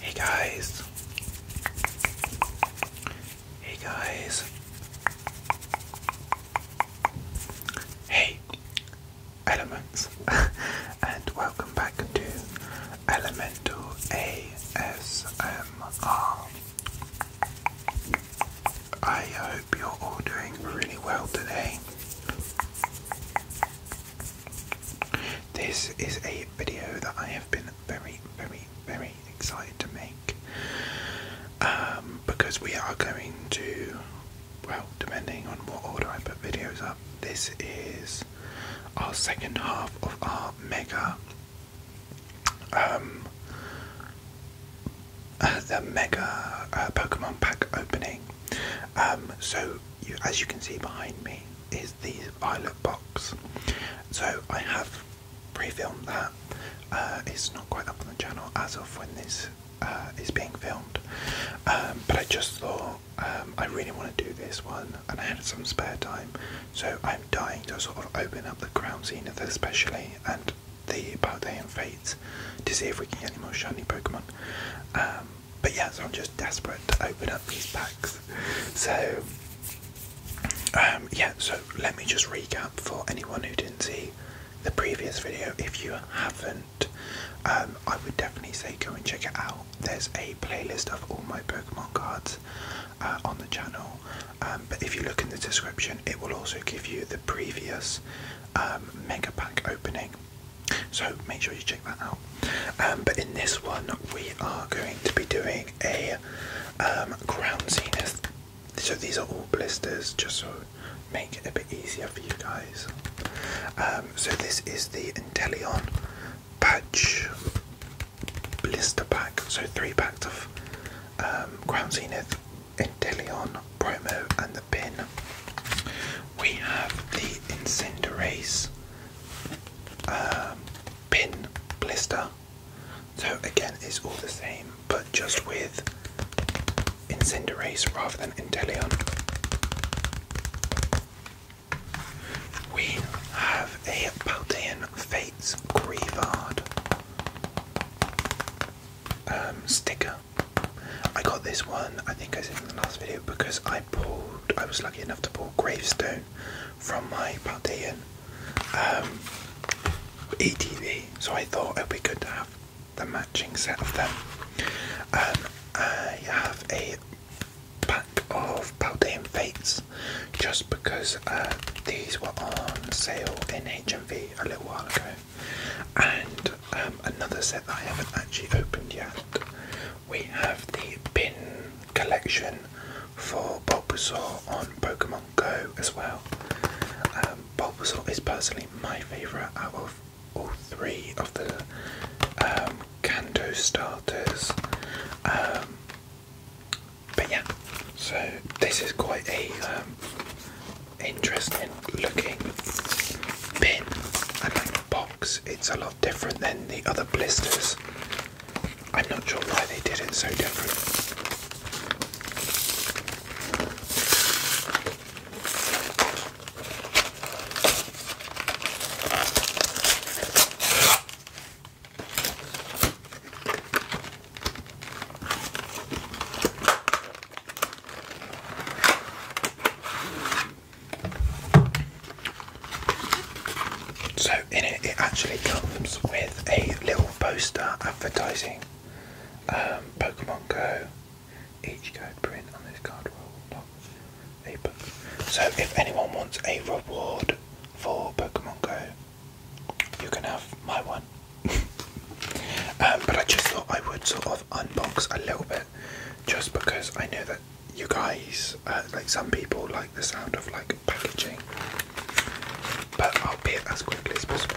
Hey guys. Hey guys. Hey elements and welcome back to Elemental ASMR. I hope you're all doing really well today. This is a video that I have been very, very, very excited to make um, because we are going to, well, depending on what order I put videos up, this is our second half of our mega, um, the mega uh, Pokemon pack opening. Um, so as you can see behind me, is the violet box. So I have pre-filmed that. Uh, it's not quite up on the channel as of when this uh, is being filmed, um, but I just thought um, I really want to do this one, and I had some spare time, so I'm dying to sort of open up the crown scene especially and the Paldean Fates to see if we can get any more shiny Pokemon. Um, but yeah, so I'm just desperate to open up these packs. So, um, yeah, so let me just recap for anyone who didn't see the previous video. If you haven't, um, I would definitely say go and check it out. There's a playlist of all my Pokemon cards uh, on the channel, um, but if you look in the description, it will also give you the previous Mega Pack opening. So make sure you check that out. Um, but in this one, we are going to be doing a crown um, zenith. So these are all blisters, just so make it a bit easier for you guys. Um, so this is the Inteleon patch blister pack. So three packs of crown zenith, Inteleon promo, and the pin. We have the Incendiaries um, pin blister. So again, it's all the same, but just with Incendiaries rather than Inteleon. We have a Paldean Fates Grievard um, sticker. I got this one, I think I said in the last video, because I I was lucky enough to pull Gravestone from my Paldean um, so I thought it would be good to have the matching set of them. Um, I have a pack of Paldean Fates just because uh, these were on sale in HMV a little while ago, and um, another set that I haven't actually opened yet we have the pin collection for Bulbasaur on Pokemon Go as well. Um, Bulbasaur is personally my favourite out of all three of the um, Kanto starters. Um, but yeah, so this is quite a um, interesting looking pin and like box it's a lot different than the other blisters. I'm not sure why they did it so different. So in it, it actually comes with a little poster advertising um, Pokemon Go. Each code print on this card will not a book. So if anyone wants a reward for Pokemon Go, you can have my one. Um, but I just thought I would sort of unbox a little bit, just because I know that you guys, uh, like some people, like the sound of like packaging, but I'll be it as quickly as possible.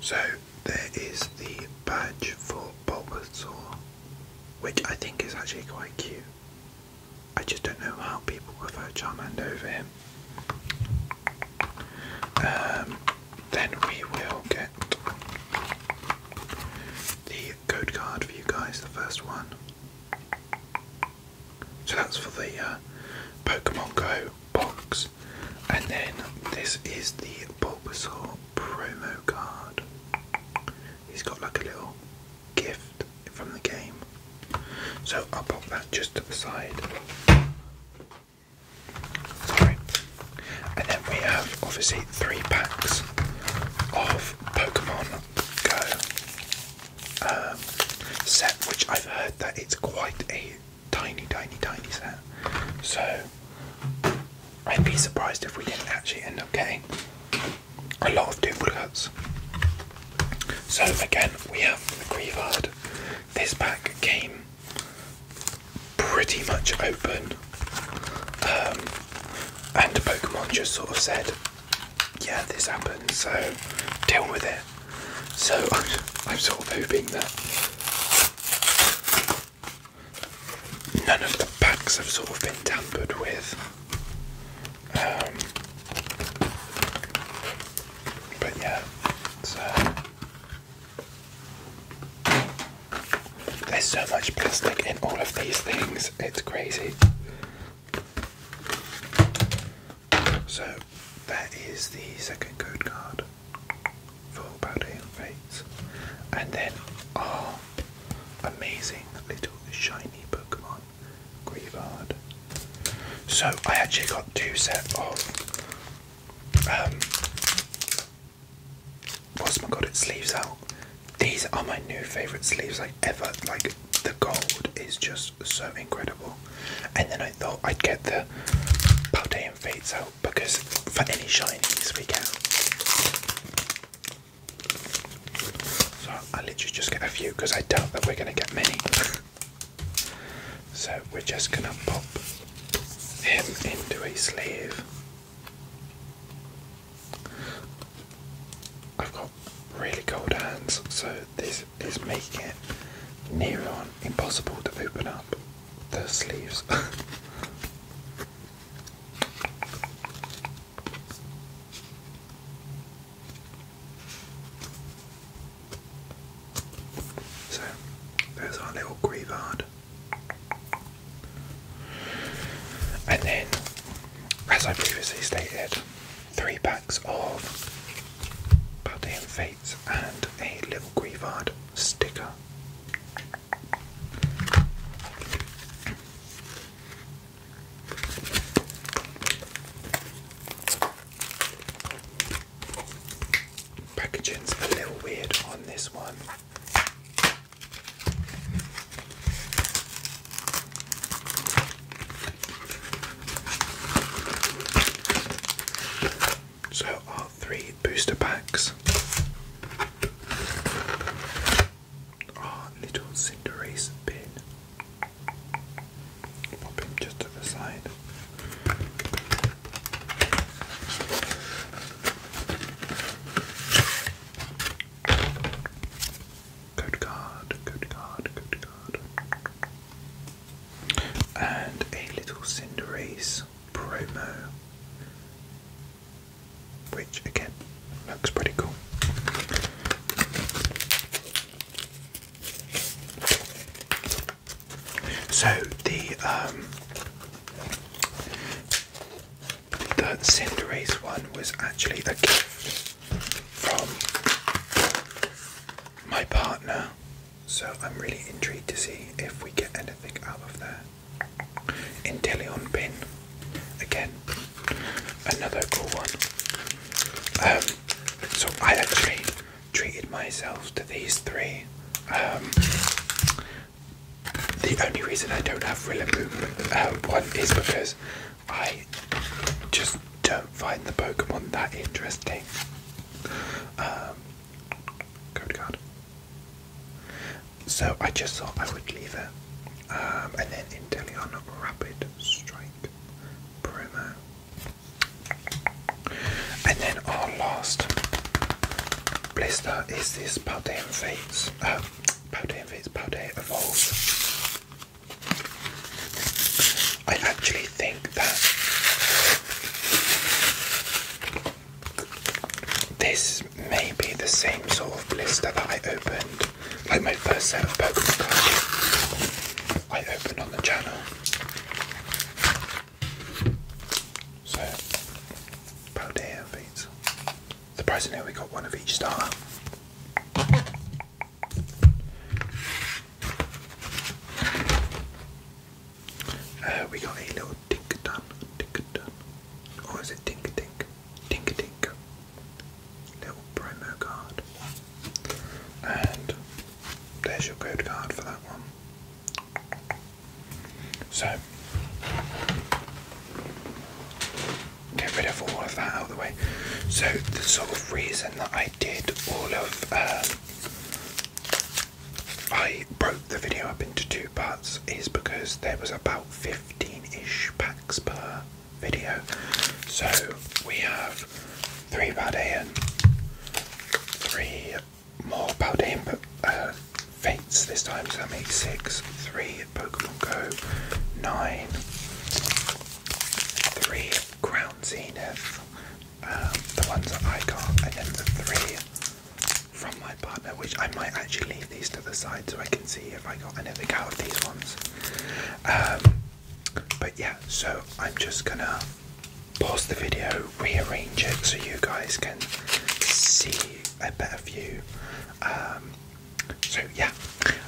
So there is the badge for Bulbasaur, which I think is actually quite cute. I just don't know how people prefer Charmander over him. Um, then we will get the code card for you guys, the first one. So that's for the uh, Pokemon Go box. And then this is the Bulbasaur promo card. He's got like a little gift from the game. So I'll pop that just to the side. Sorry. And then we have obviously three packs of Pokemon Go um, set, which I've heard that it's quite a tiny, tiny, tiny set. So I'd be surprised if we didn't actually end up getting a lot of duplicates. So again, we have the Grievard. This pack came pretty much open, um, and Pokemon just sort of said, "Yeah, this happened, so deal with it." So I'm sort of hoping that none of the packs have sort of been tampered with. Um, but yeah, so uh, there's so much plastic in all of these things, it's crazy. So that is the second code card for body and face, And then our oh, Amazing little shiny Pokemon, Grievard. So I actually got two sets of um, what's my god it sleeves out. These are my new favourite sleeves I ever. Like the gold is just so incredible. And then I thought I'd get the Paldean fades out because for any shinies we get so I literally just get a few because I doubt that we're going to get many. so we're just going to pop him into a sleeve. I've got really cold hands, so this is making it impossible to open up the sleeves. So there's our little Grievard. And then, as I previously stated, three packs of Buddy and Fates and a little Grievard sticker. Packaging's a little weird on this one. So, our three booster packs our oh, little Cinderace pin. Pop him just to the side. Good card, good card, good card. And a little Cinderace promo which again looks pretty cool. So the um, the Cinderace one was actually a gift from my partner, so I'm really intrigued to see if we get anything out of there. Intellion pin. Again, another cool one. Um, so I actually treated myself to these three. Um, the only reason I don't have Rillaboom uh, one is because I just don't find the Pokemon that interesting. Um, code card. So I just thought I would leave it. Um, and then Inteleon Rapid Strike promo. And then our last blister is this Powder and Fates. Uh, um, Powder and Fates, Powder Evolves. I actually think that this may be the same sort of blister that I opened like my first set of Pokemon cards I opened on the channel. So, about here, beats. Surprisingly, we got one of each star. Uh, we got a little Tink Dun, or is it Tink Tink? Tinker Tink. Little promo card. And there's your code card for that one. So, get rid of all of that out of the way. So, the sort of reason that I did all of, um, I broke the video up into two parts is because there was about 15 ish packs per video. So we have three Paldean, three more Paldean uh, fates this time, so that makes six, three Pokemon Go, nine, three Crown Zenith, um, the ones that I got, and then the three from my partner, which I might actually these to the side so I can see if I got anything out of these ones. Um, but yeah, so I'm just gonna pause the video, rearrange it so you guys can see a better view. Um, so yeah,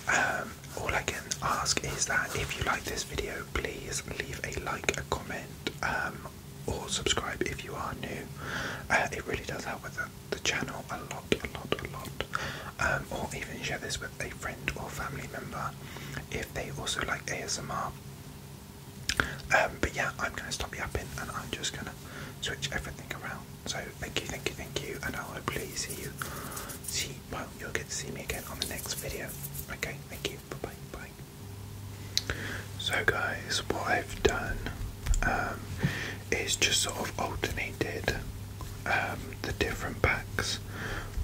um, all I can ask is that if you like this video, please leave a like, a comment, or subscribe if you are new. Uh, it really does help with the the channel a lot, a lot, a lot, um, or even share this with a friend or family member if they also like ASMR. Um, but yeah, I'm going to stop yapping and I'm just going to switch everything around. So thank you, thank you, thank you, and I'll hopefully see you. See, well, you'll get to see me again on the next video. Okay, thank you. Bye bye So guys, what I've done um, is just sort of alternated um, the different packs.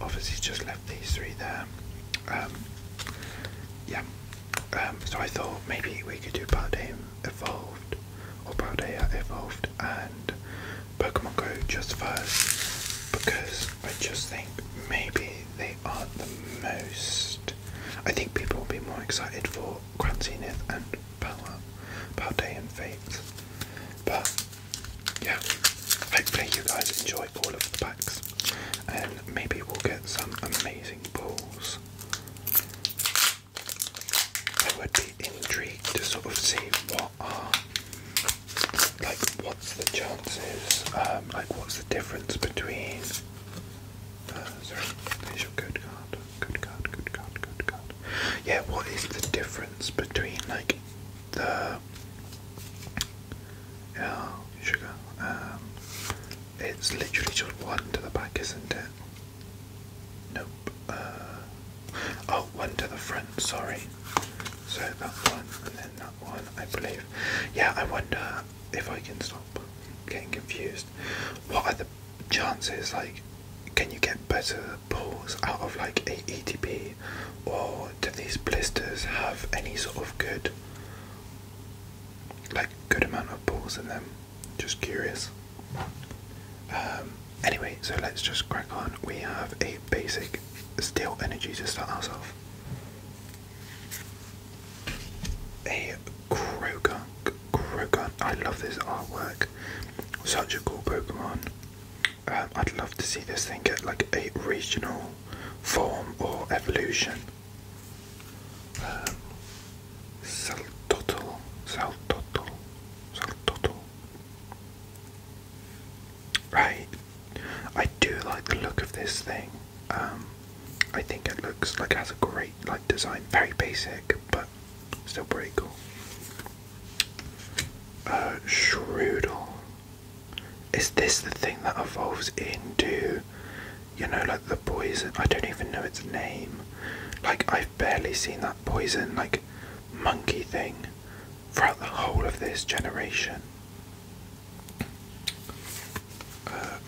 Obviously, just left these three there. Um, yeah. Um, so I thought maybe we could do Paldeia Evolved or Paldeia Evolved and Pokemon Go just first because I just think maybe they are the most. I think people will be more excited for Grand Zenith and Paldean uh, Fates. But yeah, hopefully you guys enjoy all of the packs and maybe we'll get some amazing pulls. I would be intrigued to sort of see what are like what's the chances, um, like what's the difference between uh, sorry, there's your good card. Good God, good God, good God. Yeah, what is the difference between like the yeah, uh, sugar? Um, it's literally just one to the back, isn't it? Nope. Uh, oh, one to the front. Sorry. So that one and then that one, I believe. Yeah, I wonder if I can stop getting confused. What are the chances? Like, can you get better pulls out of like a ETP, or do these blisters have any sort of good, like good amount of pulls in them? Just curious. Um, anyway, so let's just crack on. We have a basic steel energy to start ourselves. A Croagunk. Croagunk. I love this artwork. Such a cool Pokemon. Um, I'd love to see this thing get like a regional form or evolution. Um, Saltotl, Saltotl, Right, I do like the look of this thing. Um, I think it looks like it has a great like design, very basic, but still pretty cool. Uh, Is this the thing that evolves into, you know, like the poison? I don't even know its name. Like, I've barely seen that poison, like, monkey thing throughout the whole of this generation. Uh,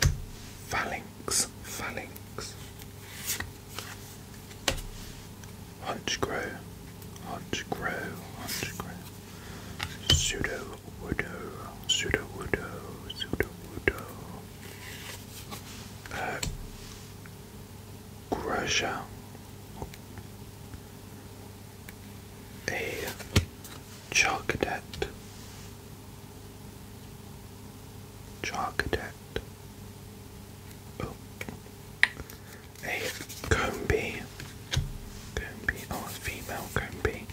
phalanx, phalanx grow, Hunchcrow, grow. Pseudo Widow, Pseudo Widow, Pseudo Widow, uh, Grusha, a Chocolate, Chocolate. Oh a comb bee. Comb female comb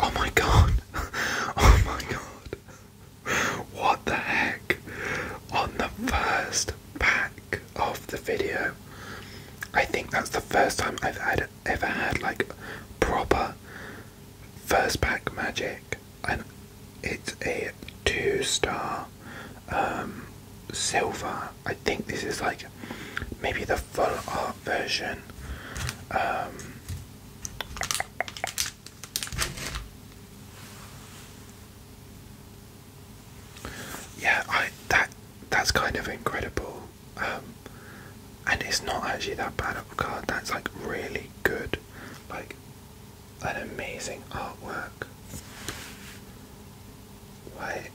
Oh my god! Oh my god! What the heck? On the first pack of the video, I think that's the first time I've ever had like proper first pack magic, and it's a two star um, silver. I think this is like maybe the full art version. Um, yeah, I that that's kind of incredible, um, and it's not actually that bad of a card. That's like really good like an amazing artwork. Why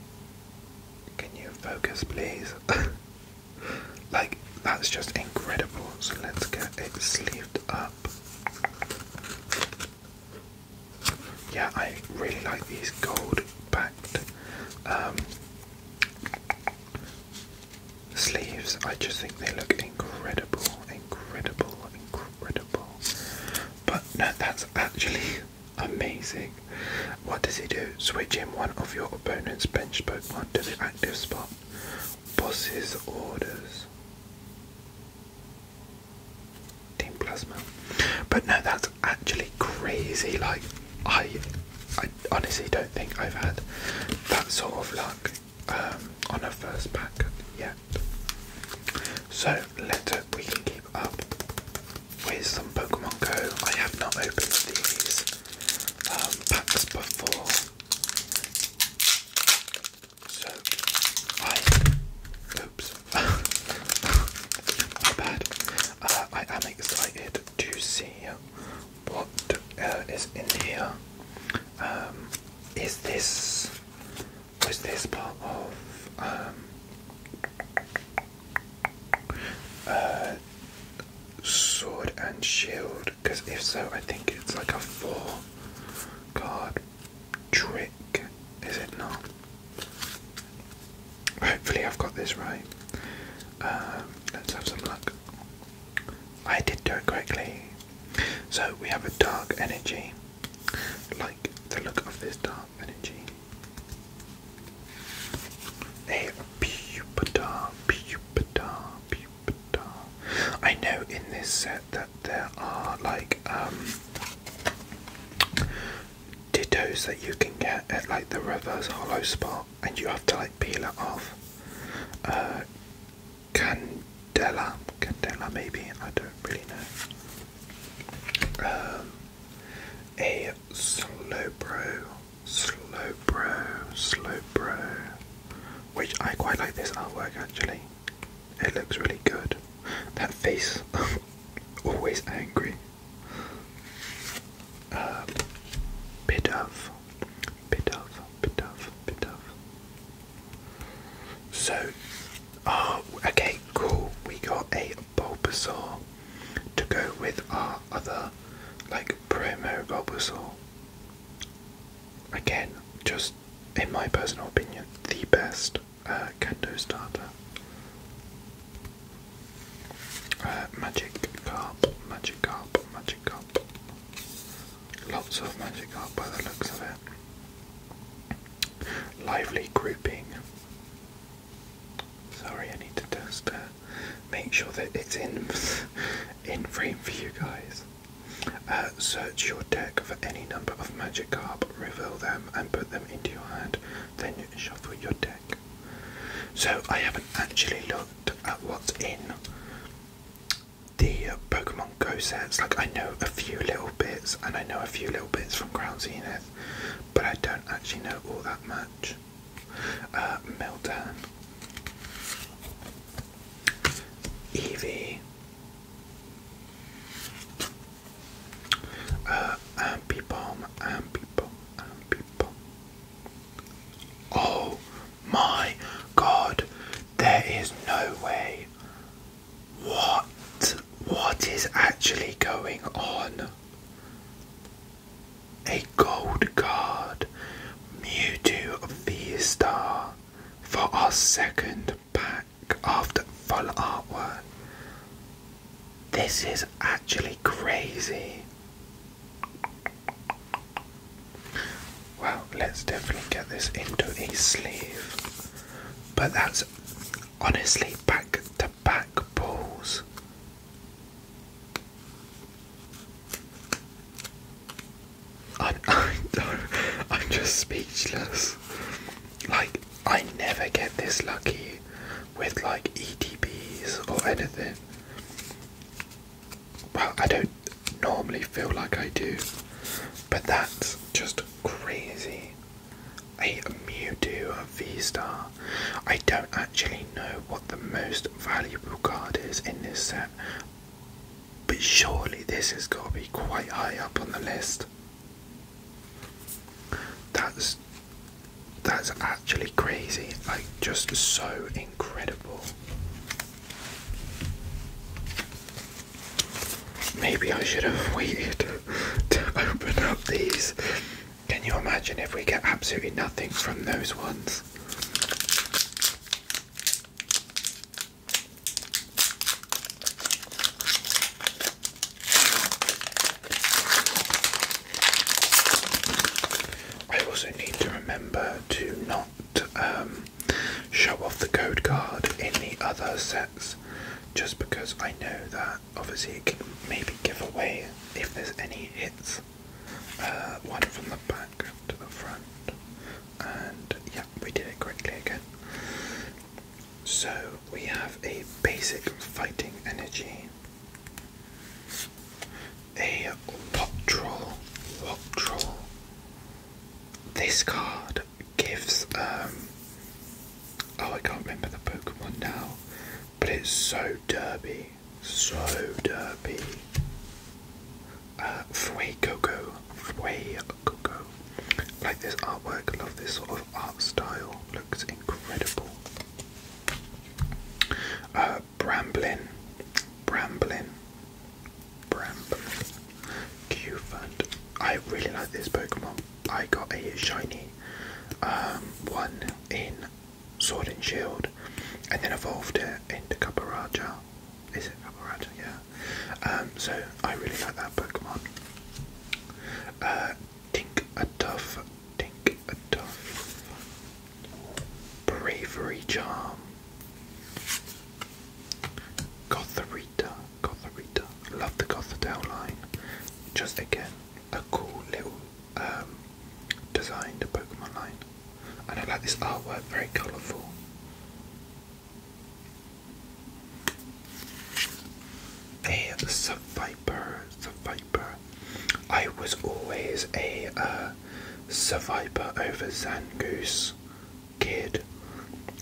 can you focus please? like that's just incredible. So let's get it sleeved up. Yeah, I really like these gold backed um, sleeves. I just think they look incredible, incredible, incredible. But no, that's actually amazing. What does he do? Switch in one of your opponent's bench Pokemon to the active spot. Boss's orders. Team Plasma. But no, that's actually crazy. Like, I, I honestly don't think I've had that sort of luck um, on a first pack yeah. So later we can keep up with some Pokemon Go. I have not opened these um, packs before, so I. Oops, bad. Uh, I am excited to see you what uh, is in here? Is Um, is this part of um, uh, sword and shield? Because if so, I think it's like a four card trick, is it not? Hopefully, I've got this right. Um, let's have some luck. I did do it correctly, So we have a dark energy, like the look of this dark energy. A pupitar, pupitar, pupitar. I know in this set that there are like um dittos that you can get at like the reverse hollow spot and you have to like peel it off. Uh, Candela, Candela maybe, I don't really know. slow Um, slow Slowbro, slow Slowbro, which I quite like this artwork actually. It looks really good. That face, always angry. Um, bit of bit of, bit of, bit of. So, oh, okay, cool. We got a Bulbasaur to go with our other, like, promo Bulbasaur. Again, just in my personal opinion, the best uh, Kendo starter. Uh, magic carp, magic carp, magic carp. Lots of magic art by the looks of it. Lively grouping. Sorry, I need to just uh, make sure that it's in in frame for you guys. Uh, search your deck for any number of magic carp, reveal them, and put them into your hand. Then you shuffle your deck. So I haven't actually looked at what's in the uh, Pokemon Go sets. Like, I know a few little bits, and I know a few little bits from Crown Zenith, but I don't actually know all that much. Uh, Meltdown, Evie, uh, Ambipom, Ambipom, Ambipom. Oh, my god, there is no way. What? What is actually going on? A gold card, Mewtwo the star for our second pack after full artwork. This is actually crazy. Well, let's definitely get this into a sleeve. But that's honestly back to back pulls. I, I don't, I'm just speechless. Like, I never get this lucky with like ETBs or anything. Well, I don't, normally feel like I do, but that's just crazy. A Mewtwo a V Star. I don't actually know what the most valuable card is in this set, but surely this has got to be quite high up on the list. That's that's actually crazy, like just so incredible. Maybe I should have waited to open up these. Can you imagine if we get absolutely nothing from those ones? I also need to remember to not um, show off the code card in the other sets just because I know that obviously it can maybe give away if there's any hits. Uh, one from the back to the front, and yeah, we did it quickly again. So we have a basic fighting energy, a Wop Troll, Wop Troll, this card gives um oh I can't remember the Pokemon now, but it's so derby, so derby. Uh Fue Coco, Fue Coco. Like this artwork, love this sort of art style, looks incredible. Bramblin, uh, Bramblin, Bramble, Qfant. I really like this Pokemon. I got a shiny um, one in Sword and Shield and then evolved it into Kaparaja. Is it Kaparaja? Yeah. Um, so I really like that Pokemon. Uh, Tink a Tough, Tink a Tough. Bravery Charm. Gotharita, Gotharita. Love the Gothadel line. Just again, a cool little um, designed Pokemon line. I like this artwork, very colourful. A survivor, survivor. I was always a uh, survivor over Zangoose kid,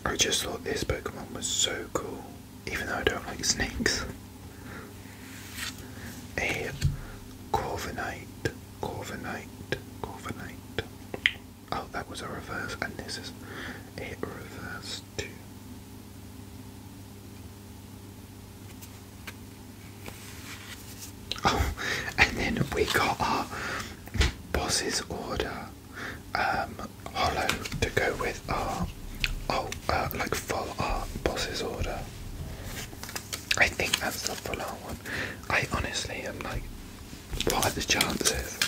I just thought this Pokemon was so cool, even though I don't like snakes. A Corviknight, Corviknight, Corviknight. Oh, that was a reverse, and this is a reverse too. Oh, and then we got Boss's order um, hollow to go with our oh uh, like full art Boss's order. I think that's the full art one. I honestly am like, what are the chances?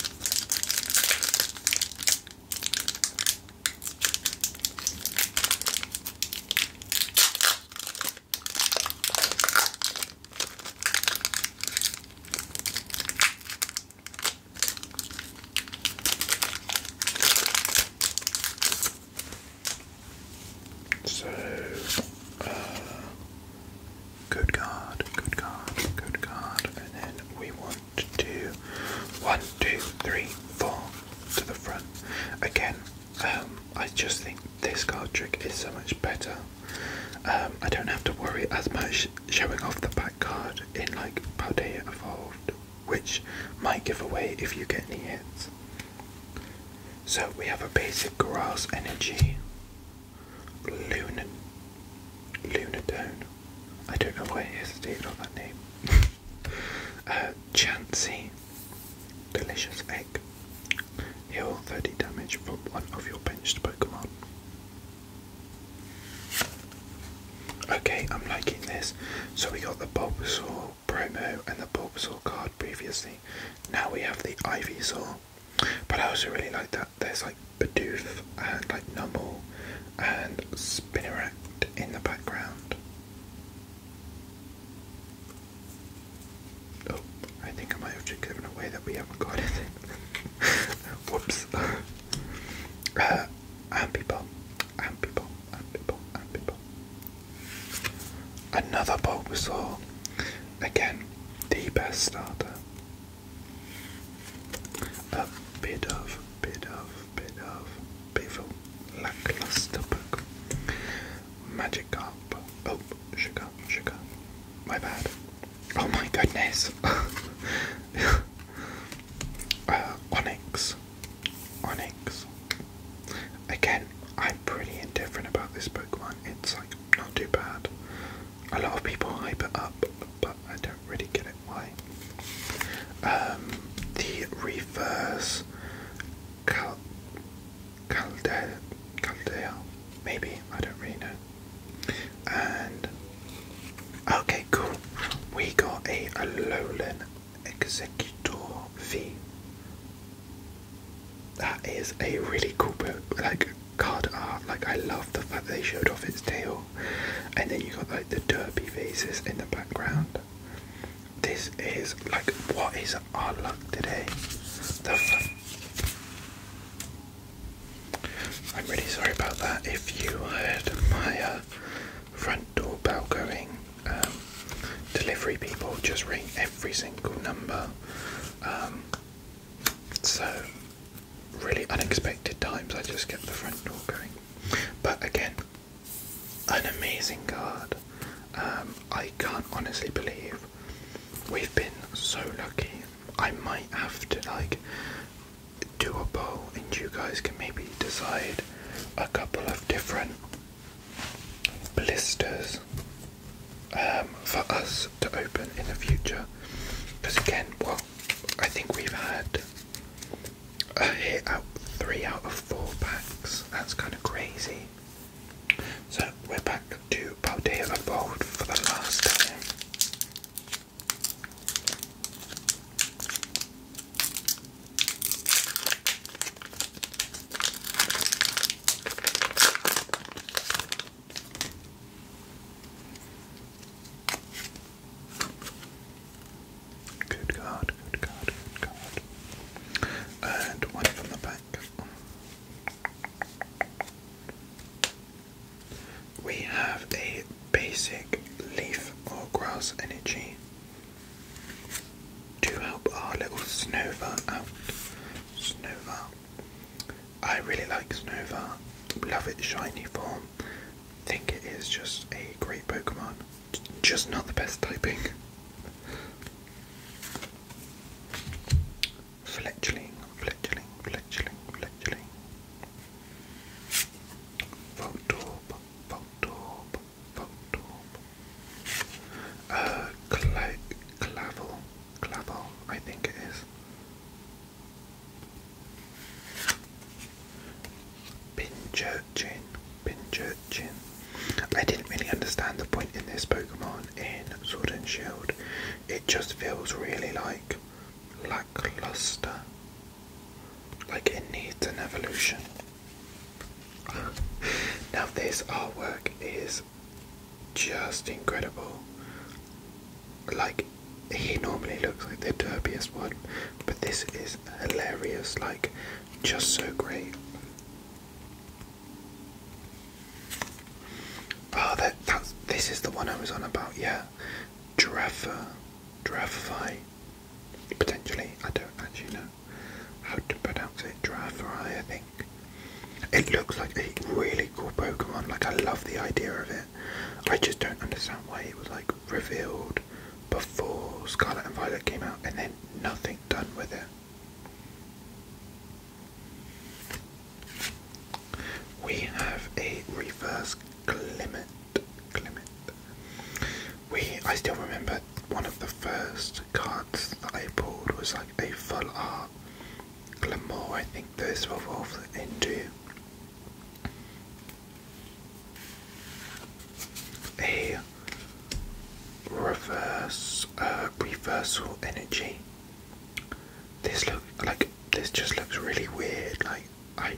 So, uh, good card, good card, good card, and then we want to do one, two, three, four to the front. Again, um, I just think this card trick is so much better. Um, I don't have to worry as much showing off the back card in like Paldea Evolved, which might give away if you get any hits. So we have a basic grass energy, Luna, Lunatone. I don't know why it hesitated on that name. Uh, Chancy, delicious egg. Heal 30 damage from one of your pinned Pokemon. Okay, I'm liking this. So we got the Bulbasaur promo and the Bulbasaur card previously. Now we have the Ivysaur. But I also really like that there's like Bidoof and like Numble and Spinneract in the background. Oh, I think I might have just given away that we haven't got anything. Whoops. Uh, and people, and people, and people, and people. Another Bulbasaur. Again, the best starter. A bit of, bit of, bit of, Bevel, lackluster book. Magic carp. Oh, sugar, sugar. My bad. Oh my goodness. Uh, Onyx. Onyx. Again, I'm pretty indifferent about this Pokemon. It's like not too bad. A lot of people hype it up, but I don't really get it why. Um, the reverse. Caldea, Caldea, maybe, I don't really know. And, okay, cool. We got a Alolan Executor V. That is a really cool boat. like card art. Like I love the fact they showed off its tail, and then you got like the Derby vases in the background. This is like what is our luck today? The I'm really sorry about that. If you heard my uh, front door bell going, um, delivery people just ring every single number. Um, so, really unexpected times, I just get the front door going. But again, an amazing guard. Um, I can't honestly believe we've been so lucky I might have to like do a poll and you guys can maybe decide a couple of different blisters um, for us to open in the future. Because again, well, I think we've had a hit out three out of four packs. That's kind of crazy. So we're back to Paldea boat for the last time. Good card, good card, good card. And one from the back. We have a basic leaf or grass energy to help our little Snova out. Snova. I really like Snova. Love its shiny form. Think it is just a great Pokemon. Just not the best typing. Fletchling, Fletchling, Fletchling, Fletchling. Votorb, Votorb, Votorb. Uh, cla Clavel, I think it is. Pinchurchin, Pinchurchin. I didn't really understand the point in this Pokemon in Sword and Shield it just feels really like lackluster. Like it needs an evolution. now, this artwork is just incredible. Like, he normally looks like the derpiest one, but this is hilarious. Like, just so great. Oh, that, that's, this is the one I was on about, yeah. Giraffa, uh, giraffify, potentially. I don't actually know how to pronounce it. Giraffify, I think. It looks like a really cool Pokemon. Like, I love the idea of it. I just don't understand why it was, like, revealed before Scarlet and Violet came out and then nothing done with it. We have a reverse Clement. We I still remember one of the first cards that I pulled was like a full art Glamour, I think those were evolved into. A reverse uh, reversal energy this look like this just looks really weird. Like I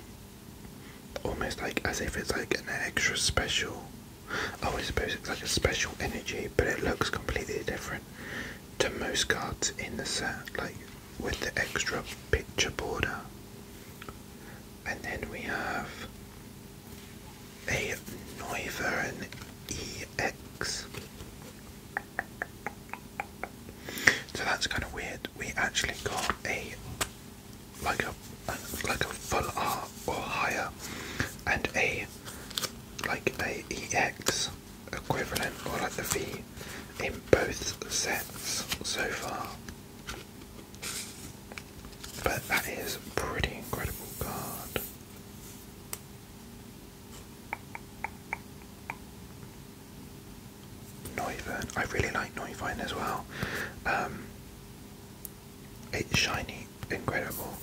almost like as if it's like an extra special. Oh, I suppose it's like a special energy, but it looks completely different to most cards in the set. Like with the extra picture border. And then we have a Neuvern EX. So that's kind of weird. We actually got a like a like a full art or higher and a like a EX equivalent or like the V in both sets so far. But that is a pretty incredible card. Neuvern. I really like Neuvern as well. Um, it's shiny, incredible.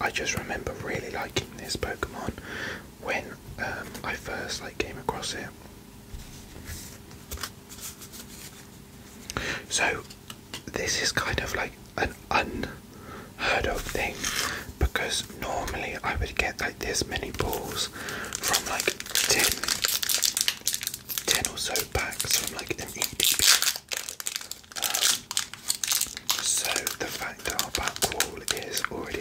I just remember really liking this Pokemon when um, I first like came across it. So this is kind of like an un heard of thing because normally I would get like this many balls from like 10, or so packs from like an EDP. Um, so the fact that our back wall is already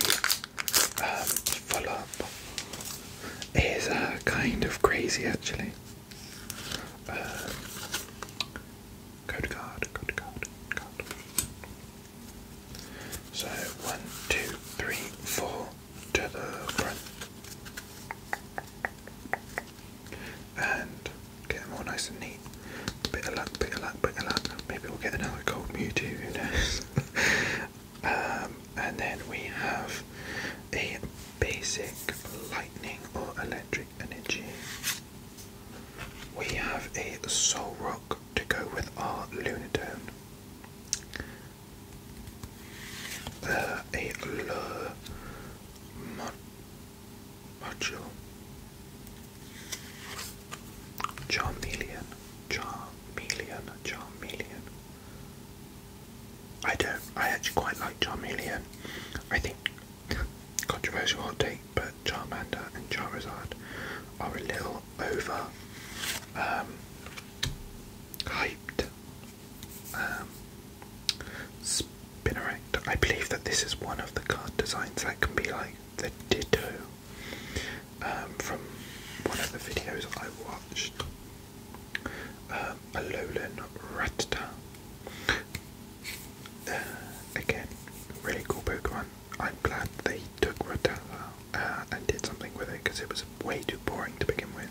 um, full up is uh, kind of crazy actually. Um, code card, code card, card. So one, two, three, four to the front. And get them all nice and neat. Bit of luck, bit of luck, bit of luck. Maybe we'll get another cold Mewtwo, who knows? um, and then we have a basic lightning or electric energy. We have a soul rock to go with our Lunatone. Uh, a lure mod module. Charmeleon, Charmeleon, Charmeleon. I don't, I actually quite like Charmeleon. I think, controversial hot take, but Charmander, and Charizard are a little over um, hyped. Um, I believe that this is one of the card designs that can be like the Ditto um, from one of the videos I watched. Um, Alolan Rattata. Uh, again, really cool Pokemon. I'm glad they took Rotella uh, and did something with it because it was way too boring to begin with.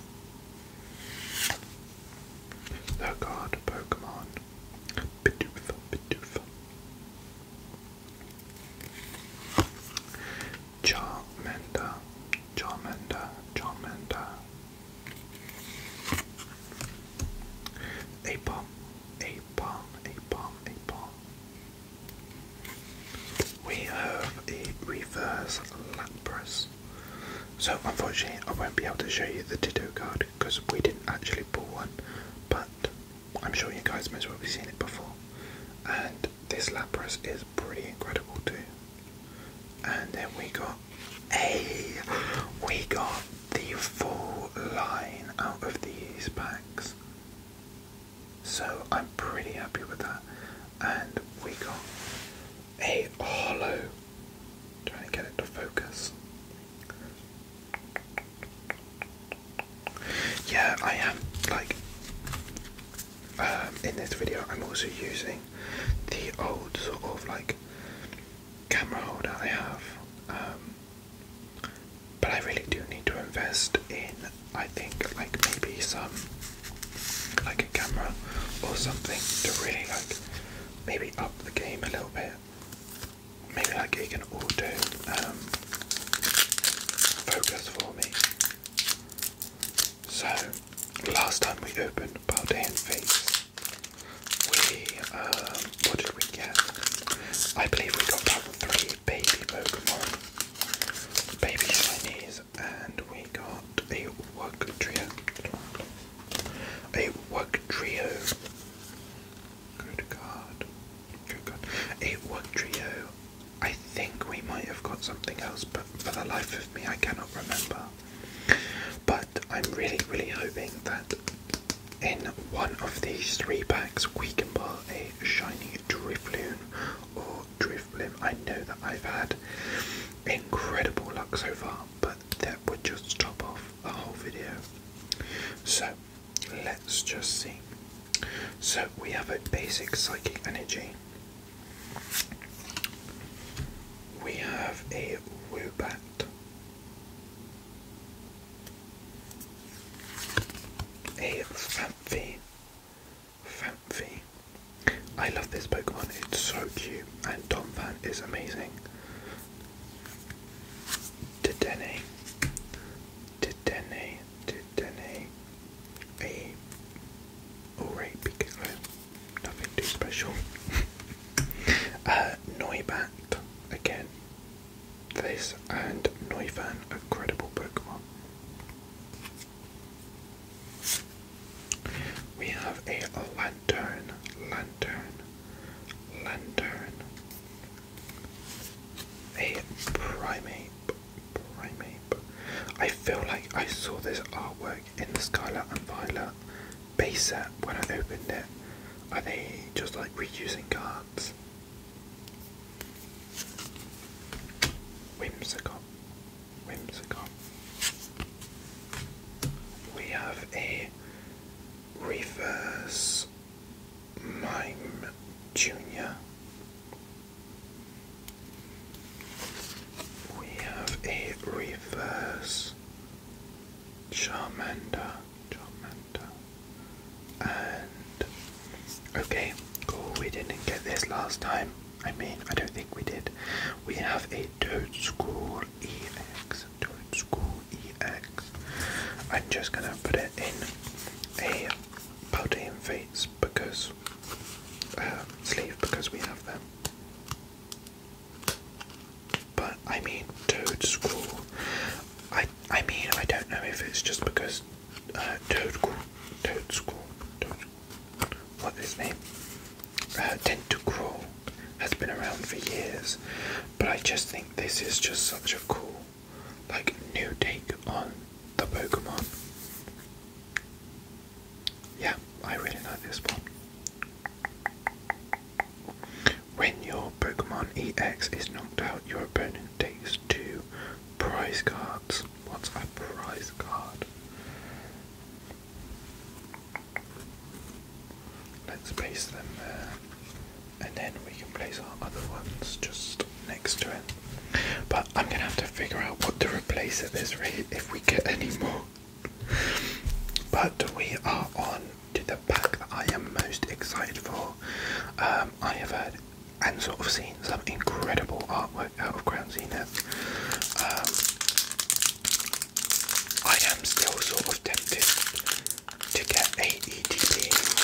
The card Pokemon. Bidoof, Bidoof. Charmander, Charmander, Charmander. A bomb, a bomb, we have a reverse Lapras. So unfortunately I won't be able to show you the Ditto card because we didn't actually pull one, but I'm sure you guys most well have seen it before. And this Lapras is pretty incredible too. And then we got a we got the full line out of these packs. So I'm pretty happy with that. And we got a hollow. Trying to get it to focus. Yeah, I am like um, in this video. I'm also using the old sort of like camera holder I have. Um, but I really do need to invest in, I think, like maybe some, like a camera or something to really like maybe up the game a little bit. Maybe like it can auto um, focus for me. So last time we opened Baldean Face, we um, what did we get? I believe we got that three baby Pokemon, baby shinies, and we got a Wug Trio. A Wug Good card. Good card. A Wug Trio. I think we might have got something else, but for the life of me, I cannot remember. But I'm really, really hoping that in one of these three packs we can pull a a shiny Drifloon or Drifblim. I know that I've had incredible luck so far, but that would just top off the whole video. So let's just see. So we have a basic psychic energy. We have a Woobat. A Famine Fanfi. Fanfi. I love this Pokemon, it's so cute, and Tom Fan is amazing. Dedenne. Dedenne. Dedenne. A alright Pikachu. Nothing too special. Uh, Noibat again. This and Noivern, a credible Pokemon. We have a lantern, lantern, lantern. A primate, primate. I feel like I saw this artwork in the Scarlet and Violet base set when I opened it. Are they just like reusing cards? Whimsicott. Whimsicott. We have a reverse mime junior. We have a reverse Charmander. Charmander. And okay, cool. We didn't get this last time. I mean, I don't think we did. We have a Toad School EX. Toad School EX. I'm just gonna put it in a Paldean Fates because uh, sleeve because we have them. But I mean, Toad School. I I mean, I don't know if it's just because uh, Toad School, Toad School, Toad School. What is his name? Uh, Tentacruel has been around for years, but I just think this is just such a cool, like, new take on the Pokemon. Yeah, I really like this one. When your Pokemon EX is knocked out, your opponent takes two you. Prize cards. What's a prize card? Let's place them there. And then we can place our other ones just next to it. But I'm gonna have to figure out what to replace it with if we get any more. But we are on to the pack that I am most excited for. Um, I have heard and sort of seen some incredible artwork out of Ground Zenith. Um, I am still sort of tempted to get a EDP.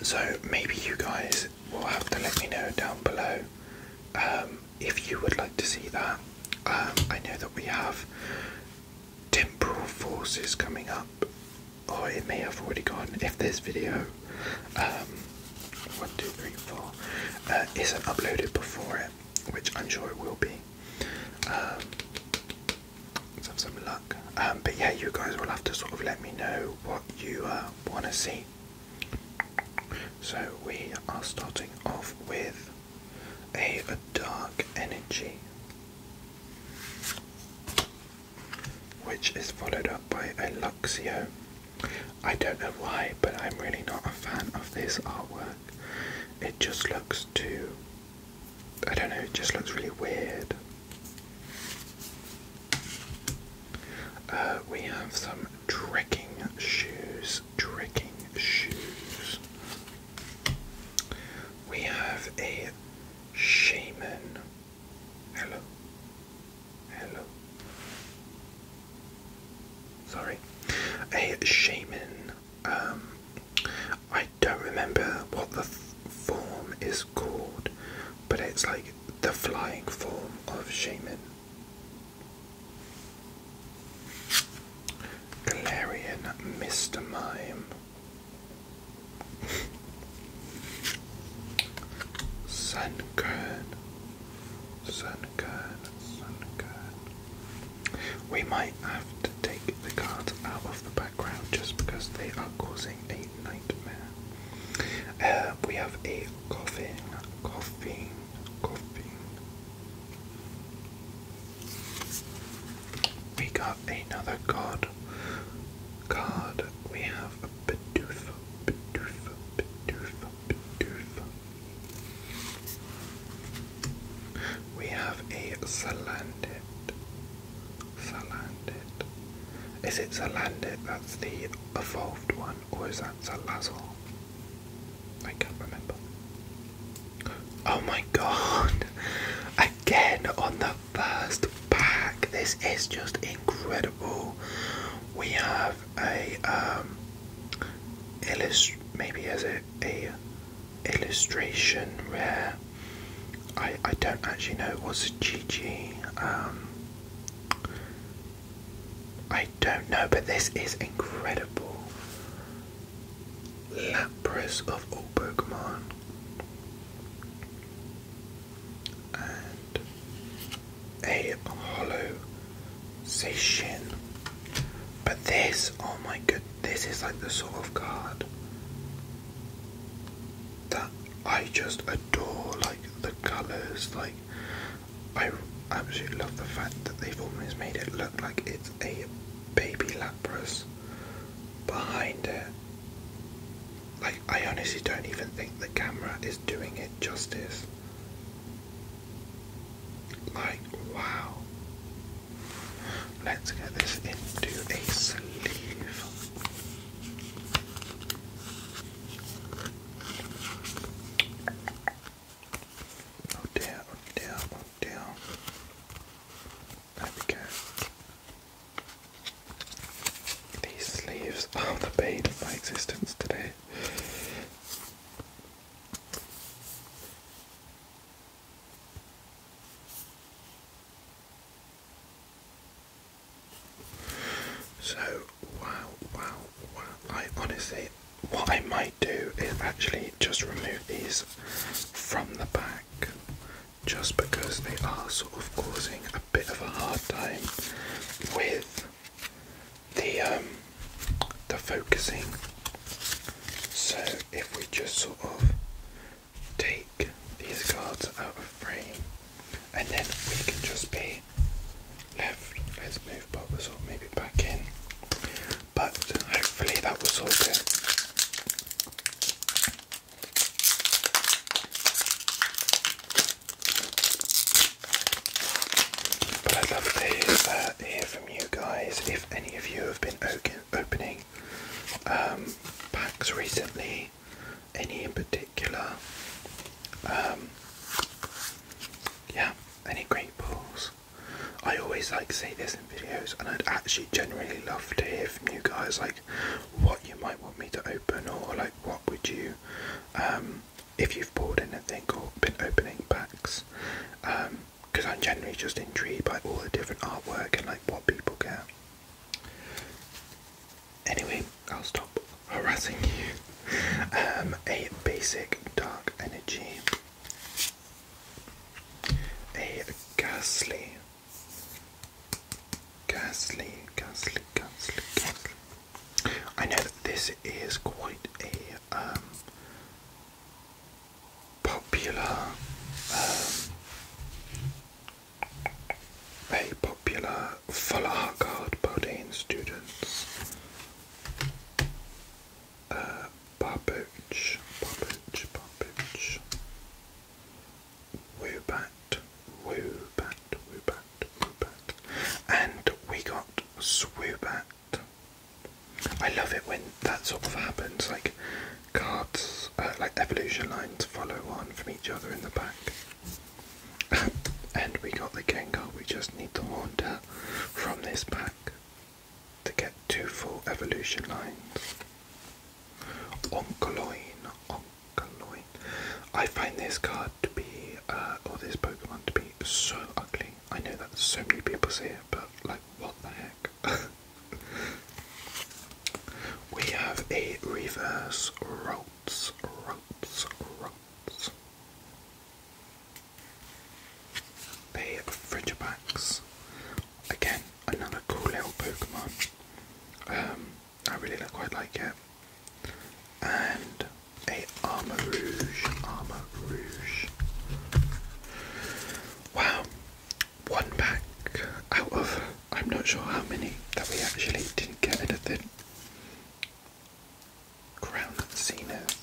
Um, so maybe you guys will have to let me know down below um, if you would like to see that. Um, I know that we have temporal forces coming up, or oh, it may have already gone if this video, um, one, two, three, four, uh, isn't uploaded before it, which I'm sure it will be. Um, let's have some luck. Um, but yeah, you guys will have to sort of let me know what you uh, want to see. So we are starting off with a, dark energy, which is followed up by a Luxio. I don't know why, but I'm really not a fan of this artwork. It just looks too. I don't know, it just looks really weird. Uh, we have some trekking shoes. Trekking shoes. We have a shaman. Hello. Hello. Sorry. A shaman. Um, I don't remember what the form is called, but it's like the flying form of shaman. Galarian Mr. Mime. Sunken. Sunken. Sunken. We might have to take the cards out of the background just because they are causing a nightmare. Uh, we have a coffin, coffin, coffin. We got another god card. We have a Bidoof, Bidoof, Bidoof, Bidoof. We have a Salandit. Salandit. Is it Salandit that's the evolved one, or is that salazal? I can't remember. Oh my god. Again on the first pack. This is just incredible. We have a um maybe as a, a illustration rare. I I don't actually know it was a GG. Um I don't know, but this is incredible. Empress of all And a hollow But this, oh my god! this is like the sort of card that I just adore. Like the colours, like I absolutely love the fact that they've almost made it look like it's a baby Lapras behind it. Like, I honestly don't even think the camera is doing it justice. Like, wow. Let's get this into a sleeve. Oh dear, oh, oh there we go. These sleeves are the pain of my existence today. So, wow, wow, wow. I honestly, what I might do is actually just remove these from the back just because they are sort of causing a bit of a hard time with the um, the focusing. So if we just sort of take these cards out of frame and then we can just be left. Let's move Bob sort of maybe back in but hopefully that was all good. But I'd love to uh, hear from you guys if any of you have been opening um, packs recently, any in particular. Um, yeah, any great pulls. I always like to say this videos, and I'd actually genuinely love to hear from you guys, like what you might want me to open, or like what would you, um, if you've bought anything or been opening packs, because um, I'm generally just intrigued by all the different artwork and like what people get. Anyway, I'll stop harassing you. Um, a basic dark energy, a ghastly Ghastly, ghastly, ghastly, ghastly. I know that this is quite a um, popular, um, a popular full art card by students. Uh, Barbooch, Barbooch, Barbooch. Woobat, Woobat, Woobat, Woobat. And we got Swoobat. I love it when that sort of happens, like cards, uh, like evolution lines follow on from each other in the back. and we got the Gengar, we just need the Haunter from this back to get two full evolution lines. Onkoloin, Onkoloin. I find this card to be, uh, or this Pokemon to be so ugly. I know that so many people say it, but like, what the heck? we have a reverse Ralts, Ralts, Ralts. They Frigibax again, another cool little Pokemon. Um, I really quite like it. And a Armor Rouge, Armor Rouge. Wow, one pack out of I'm not sure how many that we actually didn't get anything. Crown Zenith.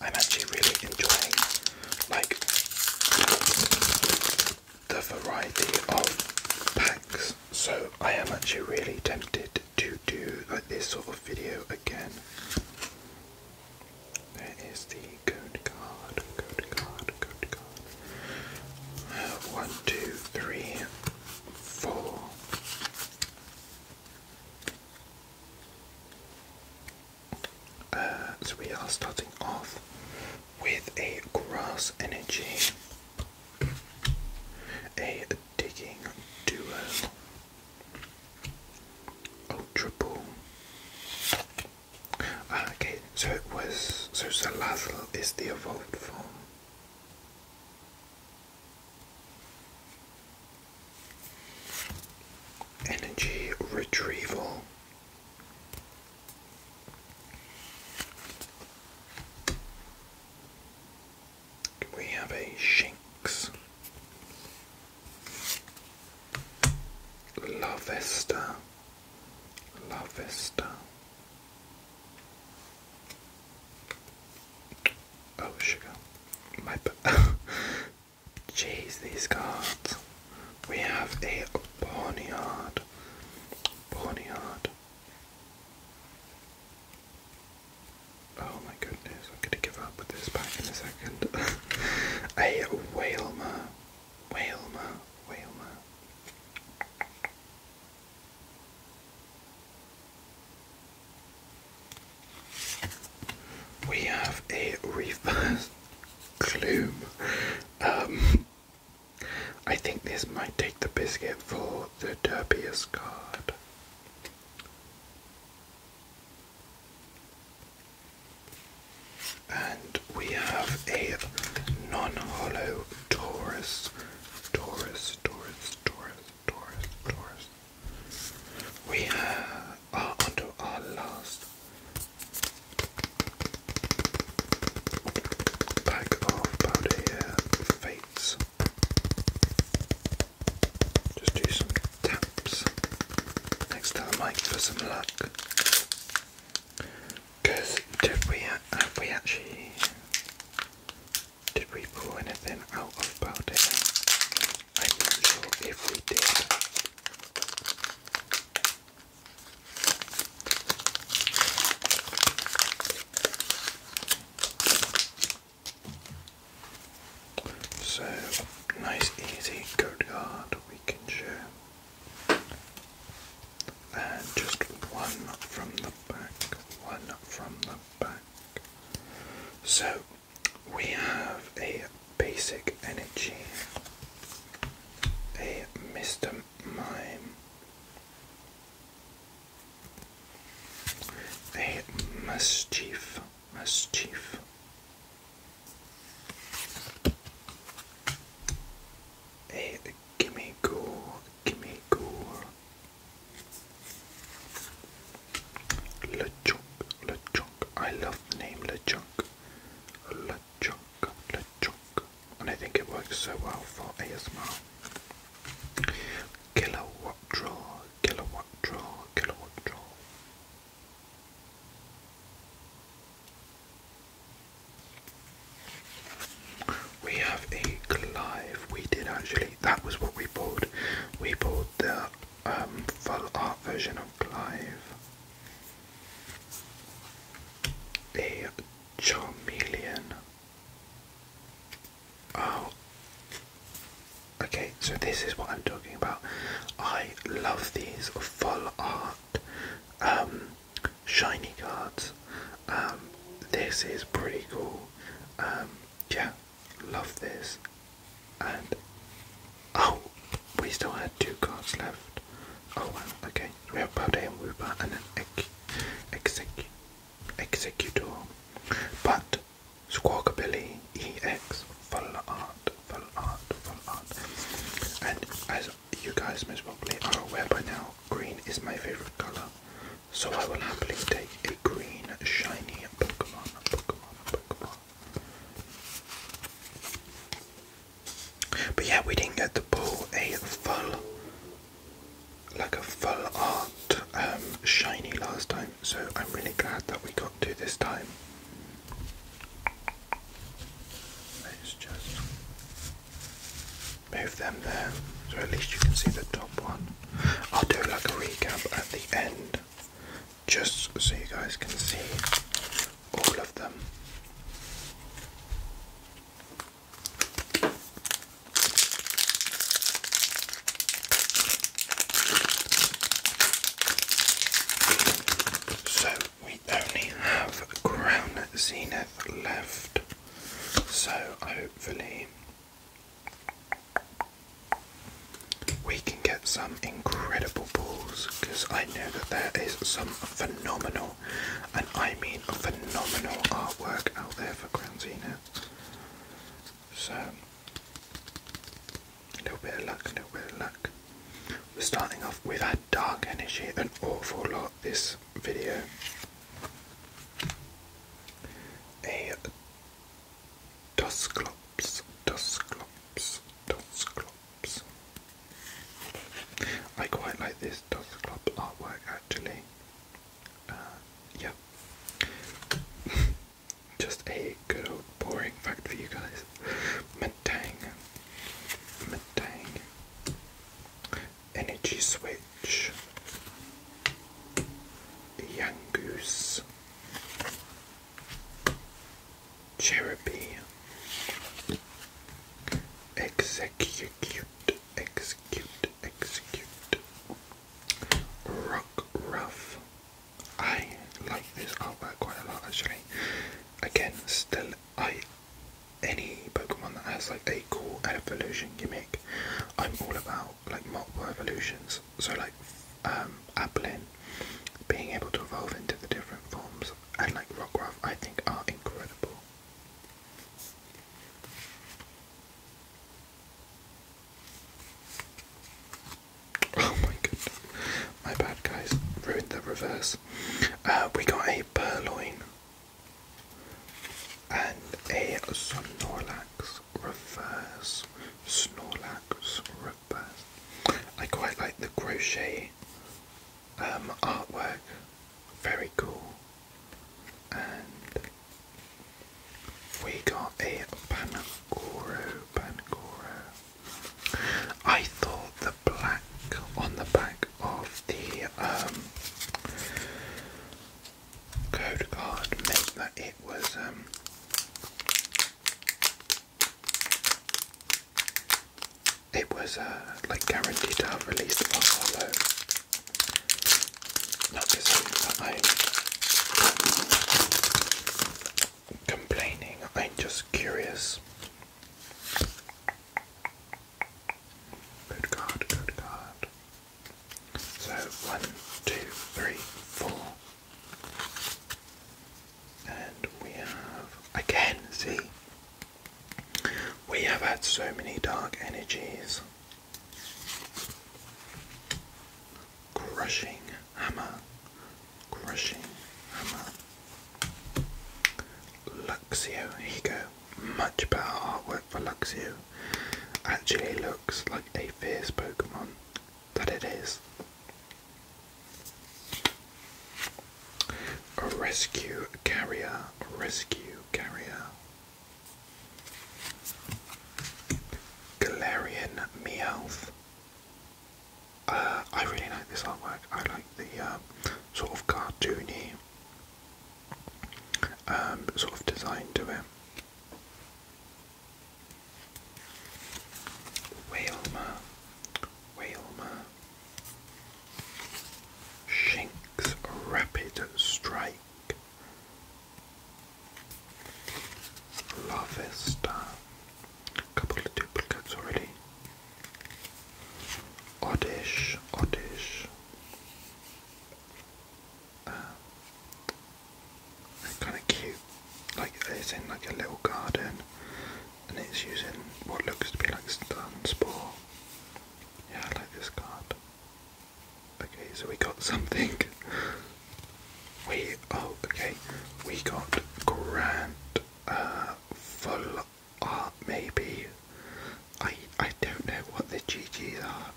I'm actually really enjoying like the variety of packs. So I am actually really tempted to do like this sort of video again. There is the code card, code card, code card. Uh, one, two, three, four. Uh, so we are starting off with a grass energy, a digging duo, ultra oh, ball. Uh, okay, so it was so Salazzle is the evolved form energy retrieval. We have a Shinx, La Vesta, Oh sugar, my Jeez, these cards. We have a Boneyard. Boneyard. Oh my goodness, I'm gonna give up with this back in a second. a Whalmer. Whalmer. Whalmer. We have a reverse gloom. Um, I think this might take the biscuit for the derbiest card. And we have a non-hollow Taurus, Taurus, Taurus, Taurus, Taurus, Taurus, we are under our last pack of powder here, Fates. Just do some taps next to the mic for some luck. Cause did we have we actually did we pull anything out of powder? I'm not sure if we did. So nice easy coat guard we can share. And just one from the back, one from the back. So we have a basic energy, a Mr. Mime, a Mischief, Mischief. A give gore, give gore. LeChuck, LeChonk. I love the name LeChonk. LeChonk, LeChonk. And I think it works so well for ASMR. Kilowatt draw, kilowatt draw, kilowatt draw. We have a live. We did actually. That was what we bought. We bought the um, full art version of Clive. A Charmeleon. Oh. Okay, so this is what I'm talking about. I love these full art um, shiny cards. Um, this is pretty cool. Um, yeah, love this. And oh, we still had two cards left. Oh wow, okay. we have Baudet and Wooper and an ex execu executor. But Squawkabilly EX full art, full art, full art. And as you guys most probably are aware by now, green is my favourite colour. So I will happily take a green shiny Pokemon, Pokemon, Pokemon, but yeah, we didn't get to pull a full, like a full art um, shiny last time, so I'm really glad that we got to this time. Let's just move them there, so at least you can see the top one. I'll do like a recap at the end just so you guys can see all of them. So we only have Crown Zenith left, so hopefully we can get some incredible balls because I know that there is some phenomenal, and I mean phenomenal artwork out there for Granzina. So, a little bit of luck, a little bit of luck. We're starting off, with have dark energy an awful lot this video. A Dusclops, Dusclops, Dusclops. I quite like this Cyclops artwork actually. Uh, yeah. Just a good old boring fact for you guys. Metang. Metang. Energy switch. Yangoose. Cherubim. Execute, execute, execute. Rock Rough. I like this artwork quite a lot actually. Again, still, I. Any Pokemon that has like a cool evolution gimmick, I'm all about like multiple evolutions. So like um Applin being able to evolve into the different forms and like Rockruff I think are incredible. Oh my goodness. My bad guys. Ruined the reverse. Uh, we got a purloin and a Snorlax reverse. Snorlax number I quite like the crochet um, artwork, very cool. And we got a Panagoro, Panagoro. I thought the black on the back of the um, code card meant that it was um, it was uh, like guaranteed to have released one hollow. Not to I'm complaining, I'm just curious. Good card, good card. So one, two, three, four and we have again see we have had so many dark energies crushing hammer crushing hammer Luxio ego. much better artwork for Luxio actually looks like a fierce Pokemon that it is. A rescue carrier, rescue carrier. Galarian Meowth. Uh, I really like this artwork. I like the um, sort of cartoony um, sort of design to it. Whalmer, Whalmer. Shinks Rapid Strike. Lavesta. Couple of duplicates already. Oddish, Oddish. Uh, kind of cute. Like it's in like a little garden, and it's using what looks to be like Stun Spore. Yeah, I like this card. Okay, so we got something. We, oh, okay, we got Grand, uh, Full Art, maybe. I, I don't know what the GGs are.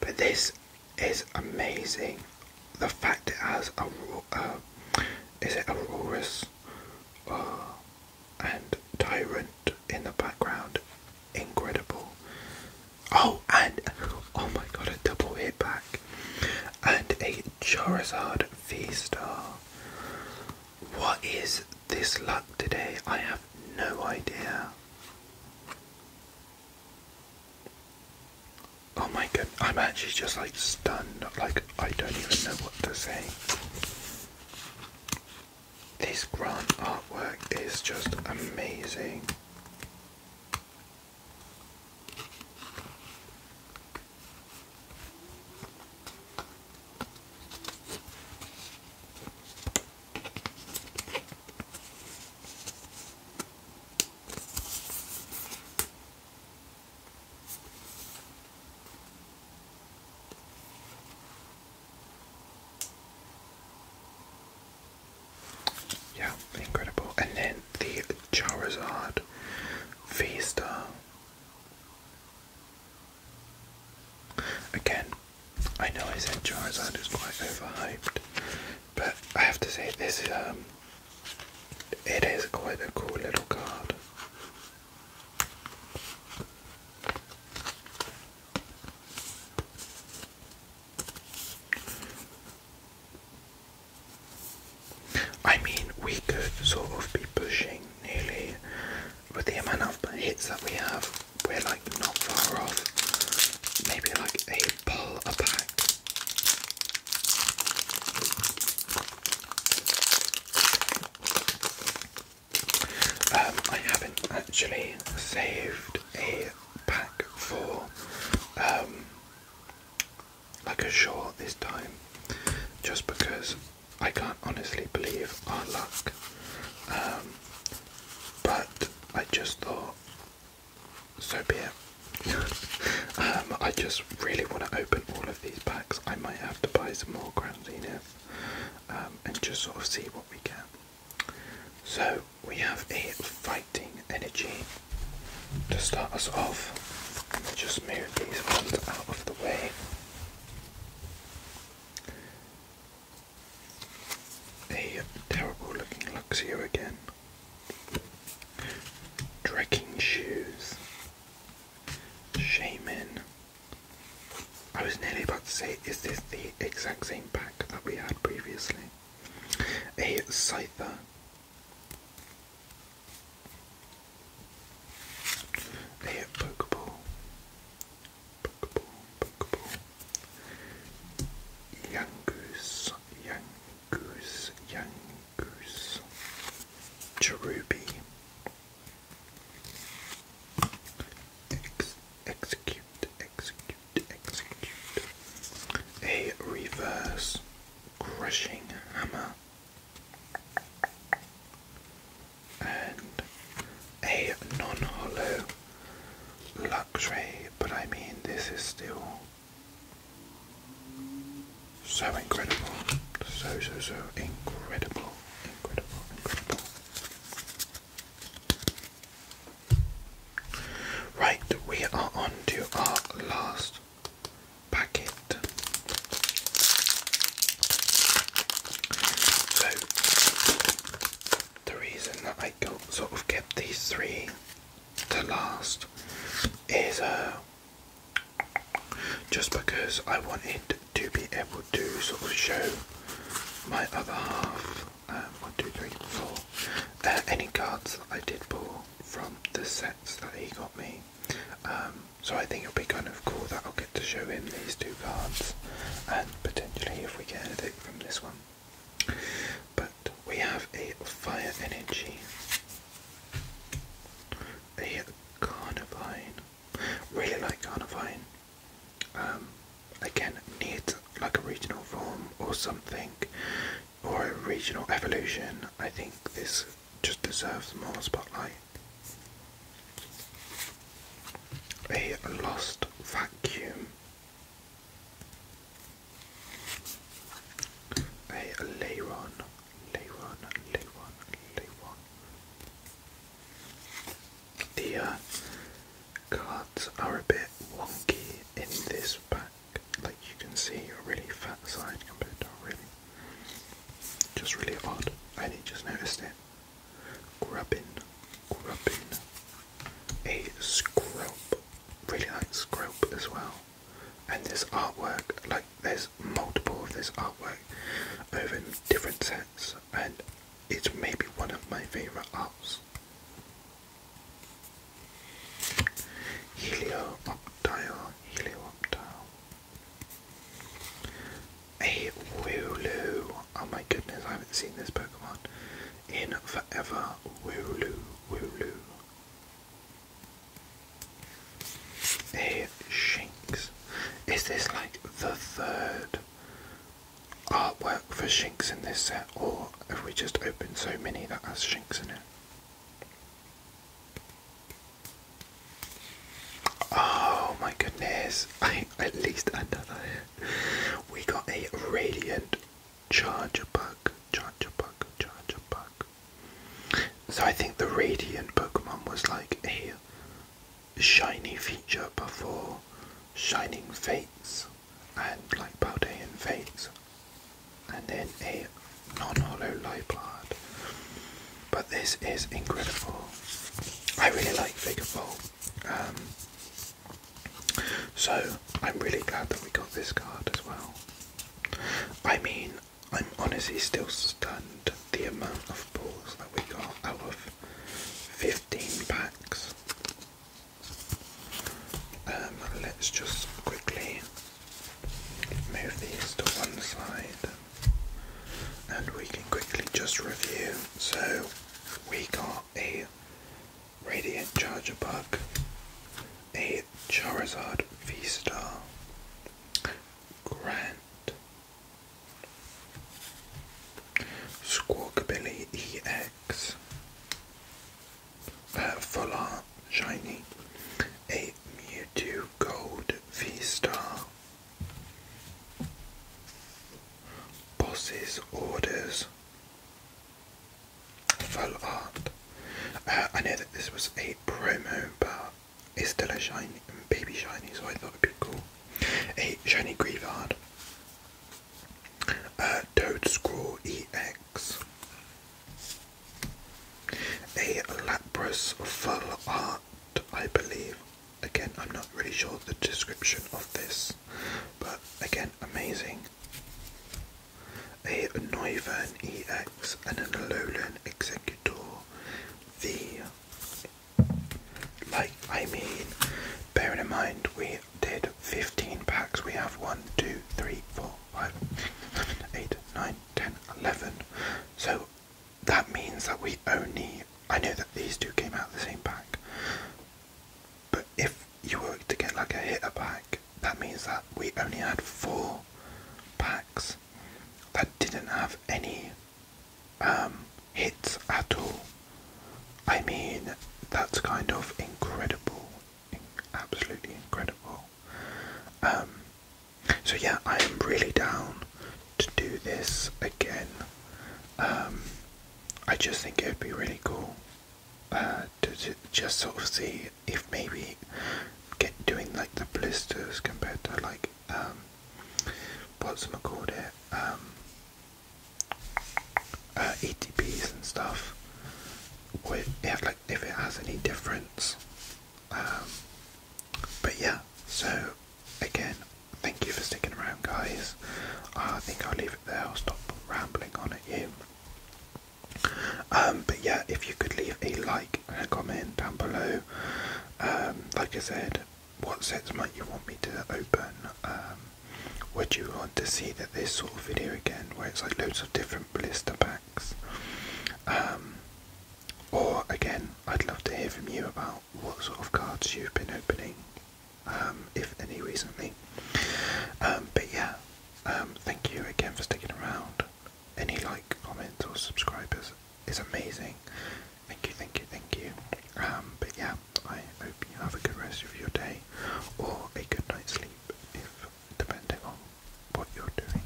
But this is amazing the fact it has a uh, is it Aurora's uh, and Tyrant in the background, incredible. Oh, and oh my god, a double hit back and a Charizard V What is this luck today? I have no idea. Oh my god, I'm actually just like stunned, like I don't even know what to say. This Grant artwork is just amazing. Yeah, incredible. And then the Charizard V Star. Again, I know I said Charizard is quite overhyped, but I have to say this um, it is quite a cool little card. I mean, we could sort of be pushing nearly with the amount of hits that we have, we're like not far off. Maybe like a pull a pack. Um, I haven't actually saved a pack for um, like a shore this time, just because I can't honestly believe our luck. Um, but I just thought, so be it. Um, I just really want to open all of these packs. I might have to buy some more Grand Zenith um, and just sort of see what we get. So we have a fighting energy to start us off. Just move these ones out of the way. A terrible looking Luxio again. Trekking shoes. Shaman. I was nearly about to say, is this the exact same pack that we had previously? A Scyther. A Pokeball. Pokeball, Pokeball. Yangoose, Yang, goose, young goose, cherubi, execute, execute, execute, a reverse crushing hammer, and a non hollow luxury, but I mean, this is still so incredible. So, so, so incredible. Incredible, incredible. Right, we are on to our last packet. So, the reason that I sort of kept these three to last is uh, just because I wanted to be able to sort of show my other half. Um, one, two, three, four. Uh, any cards that I did pull from the sets that he got me. Um, so I think it'll be kind of cool that I'll get to show him these two cards, and potentially if we get anything from this one. But we have a fire energy a carnivine. Really like carnivine. Um, again, needs like a regional form or something, or a regional evolution. I think this just deserves more spotlight. A lost vacuum. A Leiron. Leyron, Leyron, Leyron. The uh, cards are a bit wonky in this pack. Like you can see a really fat side compared to a really just really odd. I just noticed it. Grubbing, grubbing. A scrub. Really like scrub as well. And this artwork, like there's multiple of this artwork over different sets, and it's maybe one of my favourite arts. Helioptile, Helioptile. A Wooloo. Oh my goodness, I haven't seen this Pokemon in forever. Wooloo, Wooloo. Hey, Shinx. Is this like the third artwork for Shinx in this set, or have we just opened so many that has Shinx in it? Oh my goodness, at least had We got a Radiant Charger Bug, Charger Bug, Charger Bug. So I think the Radiant Pokemon was like a shiny feature before Shining Fates and like Paldean Fates and then a non-hollow Lipard. But this is incredible. I really like Figure um, Four. so I'm really glad that we got this card as well. I mean, I'm honestly still stunned the amount of balls that we got out of 15 packs. Um, let's just quickly move these to one side and we can quickly just review. So, we got a Radiant Charger Bug, a Charizard V Star, Grant. Squawkabilly EX. Uh, full art, shiny. A Mewtwo Gold V-Star. Boss's Orders. Full art. Uh, I know that this was a promo, but it's still a shiny baby shiny, so I thought it'd be cool. A shiny Grievard. A uh, Toad Scroll EX. A Lapras Full Art, I believe. Again, I'm not really sure the description of this, but again, amazing. A Noivern Rex and an Alolan Executor the Like, I mean, bearing in mind we did 15 packs, we have one, two, three, four, five, eight, nine, ten, eleven. So that means that we only. I know that these two came out the same pack, but if you were to get like a hit a pack, that means that we only had four packs that didn't have any um, hits at all. I mean, that's kind of incredible, absolutely incredible. Um, so yeah, I am really down to do this again. Um, I just think it would be really cool uh, to just sort of see if maybe get doing like the blisters compared to like um what's called it um uh, ETPs and stuff with if like if it has any difference um, but yeah so again thank you for sticking around guys I think I'll leave it there I'll stop rambling on at you um, but yeah if you could leave a like a comment down below. Um, like I said, what sets might you want me to open? Um, would you want to see that this sort of video again, where it's like loads of different blister packs? Um, or again, I'd love to hear from you about what sort of cards you've been opening, if any recently. but yeah, thank you again for sticking around any like, comment, or subscribe is, is amazing. Thank you, thank you, thank you. Um, but yeah, I hope you have a good rest of your day or a good night's sleep, if depending on what you're doing.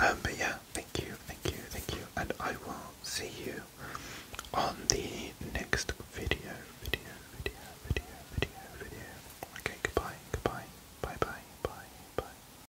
Um, but yeah, thank you, thank you, thank you, and I will see you on the next video, video, video, video, video, video. Okay, goodbye, goodbye, bye, bye, bye, bye.